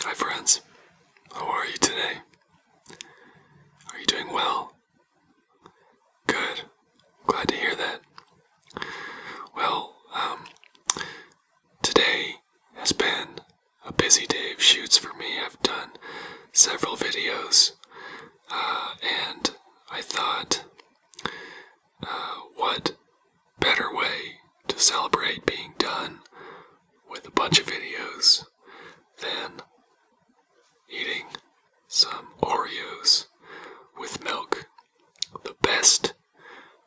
Hi, friends. How are you today? Are you doing well? Good. Glad to hear that. Well, um, today has been a busy day of shoots for me. I've done several videos, uh, and I thought, uh, what better way to celebrate being done with a bunch of videos than eating some Oreos with milk. The best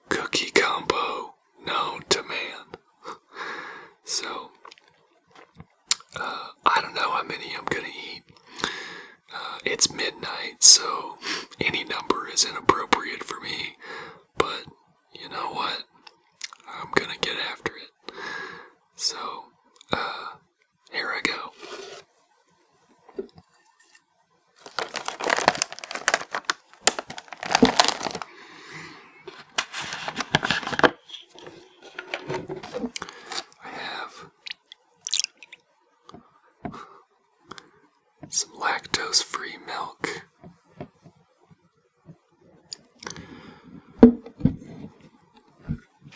cookie combo known to man. so, uh, I don't know how many I'm gonna eat. Uh, it's midnight, so any number is inappropriate for me. But you know what? I'm gonna get after it. So, uh, here I go. I have some lactose free milk.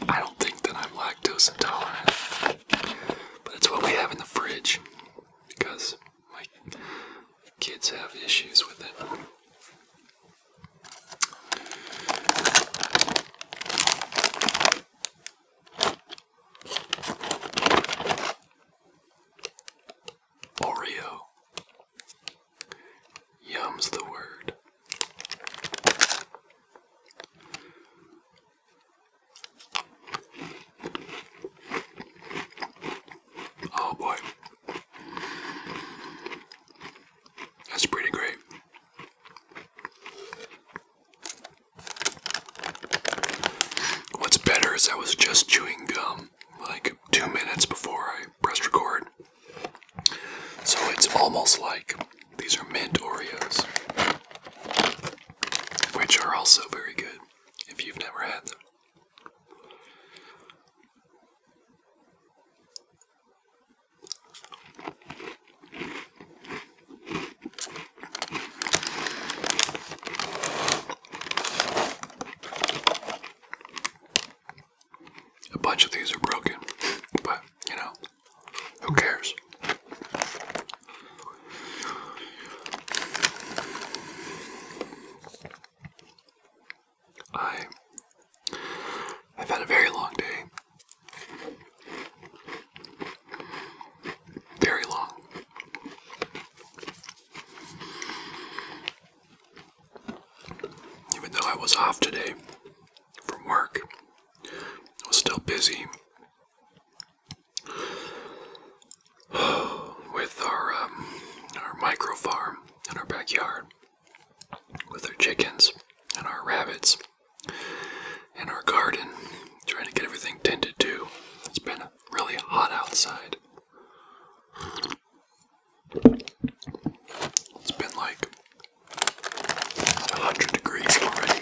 I don't think that I'm lactose intolerant, but it's what we have in the fridge because my kids have issues with it. Oreo. Yum's the word. Oh boy. That's pretty great. What's better is I was just chewing gum like two minutes before I pressed record. So it's almost like these are mint Oreos, which are also very good if you've never had them. A bunch of these are broken, but you know, who cares? I I've had a very long day very long. Even though I was off today from work, I was still busy with our um, our micro farm in our backyard with our chickens and our rabbits in our garden, trying to get everything tended to. It's been really hot outside. It's been like 100 degrees already.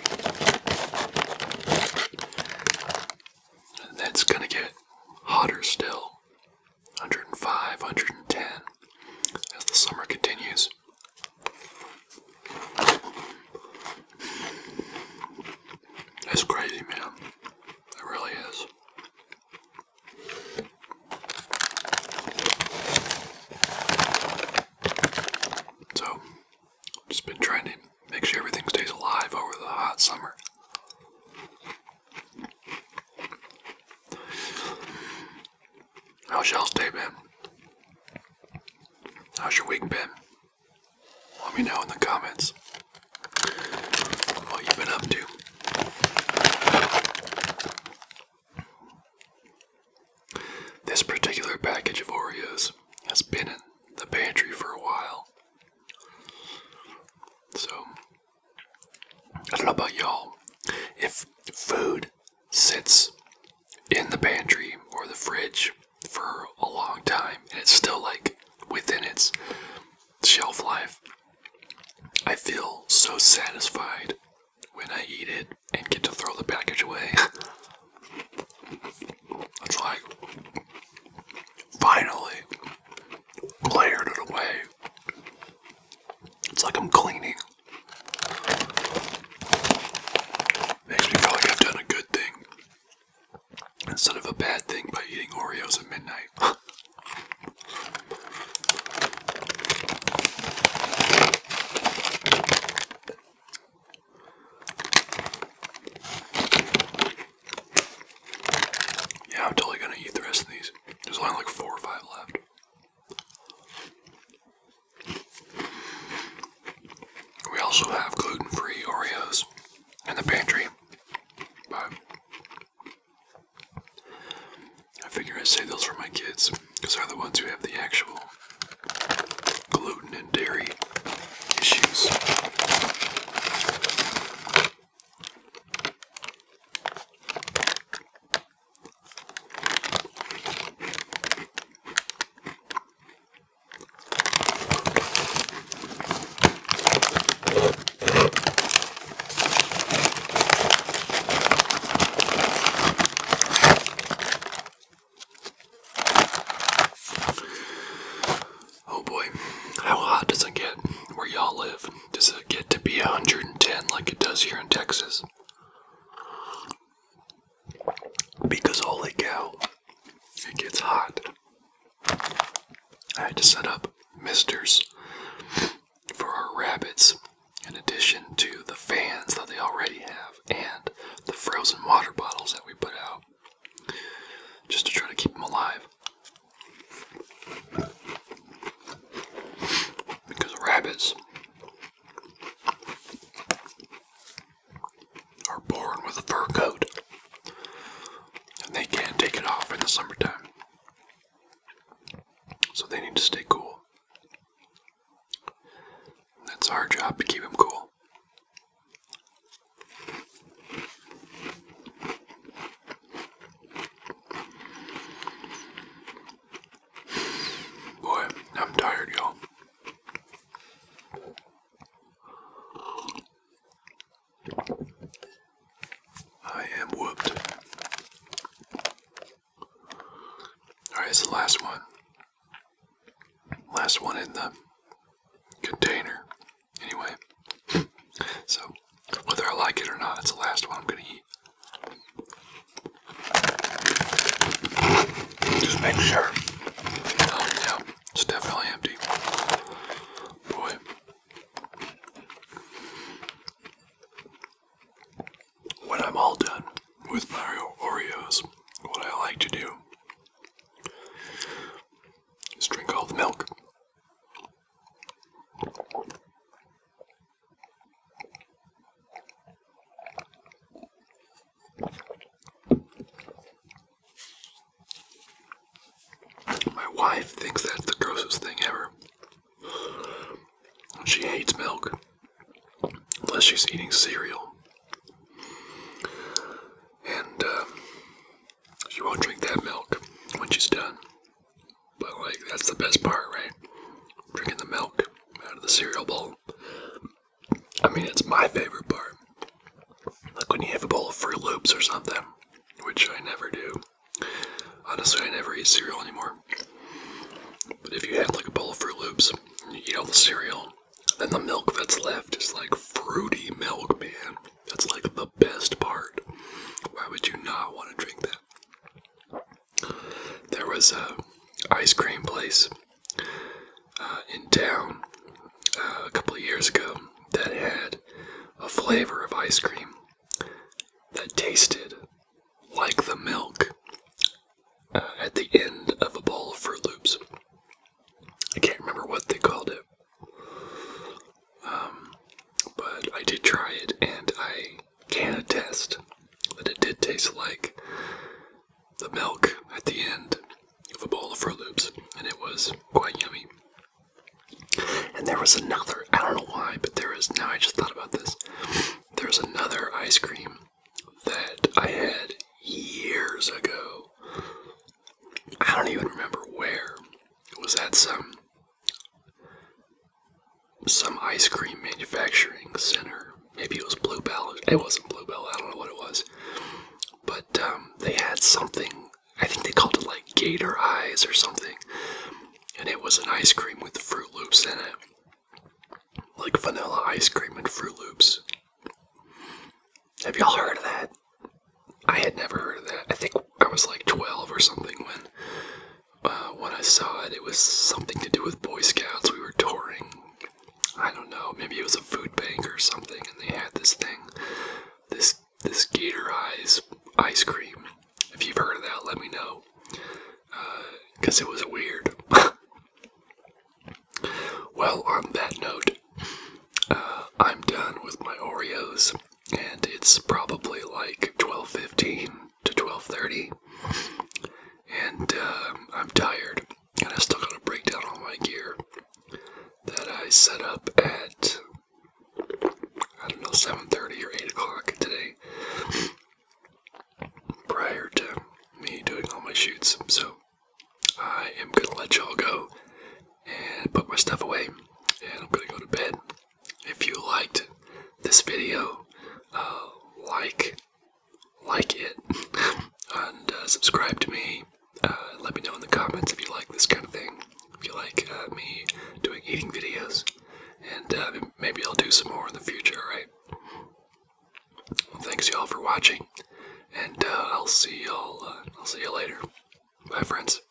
And that's gonna get hotter still 105, 110 as the summer continues. That's crazy, man. It really is. So, just been trying make sure everything stays alive over the hot summer. How's y'all's day been? How's your week been? Let me know in the comments what you've been up to. This particular package of Oreos has been in the pantry for a while. So, I don't know about y'all. If food sits in the pantry or the fridge for a long time and it's still like within its shelf life. I feel so satisfied when I eat it and get to throw the package away. it's like finally cleared it away. It's like I'm cleaning. Makes me feel like I've done a good thing instead of a bad thing by eating Oreos at midnight. yeah, I'm totally gonna eat the rest of these. There's only like four or five left. We also have gluten free Oreos in the pantry, but I figure i save those for my kids because they're the ones who have the actual gluten and dairy issues. Oh boy, how hot does it get where y'all live? Does it get to be 110 like it does here in Texas? Because holy cow, it gets hot. I had to set up misters for our rabbits in addition to the fans that they already have and the frozen water bottles that we put out just to try to keep them alive. Because rabbits are born with a fur coat and they can't take it off in the summertime. So they need to stay cool. that's our job to keep them cool. Boy, I'm tired, y'all. I am whooped. Alright, it's the last one. Last one in the container. Anyway, so whether I like it or not, it's the last one I'm going to eat. Just make sure. yeah, it's definitely empty. Boy. When I'm all done with my Oreos, what I like to do is drink all the milk. My wife thinks that's the grossest thing ever. She hates milk unless she's eating cereal. And uh, she won't drink that milk when she's done. But, like, that's the best part, right? Drinking the milk out of the cereal bowl. I mean, it's my favorite part. Like when you have a bowl of Fruit Loops or something, which I never do. Honestly, I never eat cereal anymore. But if you had like a bowl of Fruit Loops and you eat all the cereal, then the milk that's left is like fruity milk, man. That's like the best part. Why would you not want to drink that? There was a ice cream place uh, in town uh, a couple of years ago that had a flavor of ice cream that tasted like the milk uh, at the end of a bowl of Fruit Loops. I can't remember what they called it, um, but I did try it and I can attest that it did taste like the milk at the end of a bowl of Fruit Loops, and it was quite yummy. And there was another, I don't know why, but there is, now I just thought about this, there's another ice cream that I had years ago. I don't even remember where. was that some some ice cream manufacturing center. Maybe it was Bluebell. It wasn't Bluebell. I don't know what it was. But um, they had something. I think they called it like Gator Eyes or something. And it was an ice cream with Fruit Loops in it. Like vanilla ice cream and Fruit Loops. Have y'all heard of that? I had never heard of that. I think I was like 12 or something when uh, when I saw it, it was something to do with Boy Scouts. We were touring. I don't know. Maybe it was a food bank or something, and they had this thing, this this Gator Eyes ice cream. If you've heard of that, let me know, because uh, it was weird. well, on that note, uh, I'm done with my Oreos and it's probably like 12:15 to 12:30, and um, I'm tired, and I still gotta break down all my gear that I set up at I don't know 7:30 or 8 o'clock today, prior to me doing all my shoots. So I am gonna let y'all go and put my stuff away, and I'm gonna go to bed if you liked this video, uh, like, like it, and uh, subscribe to me. Uh, let me know in the comments if you like this kind of thing. If you like me doing eating videos, and maybe I'll do some more in the future. All right. thanks y'all for watching, and I'll see y'all. I'll see you later. Bye, friends.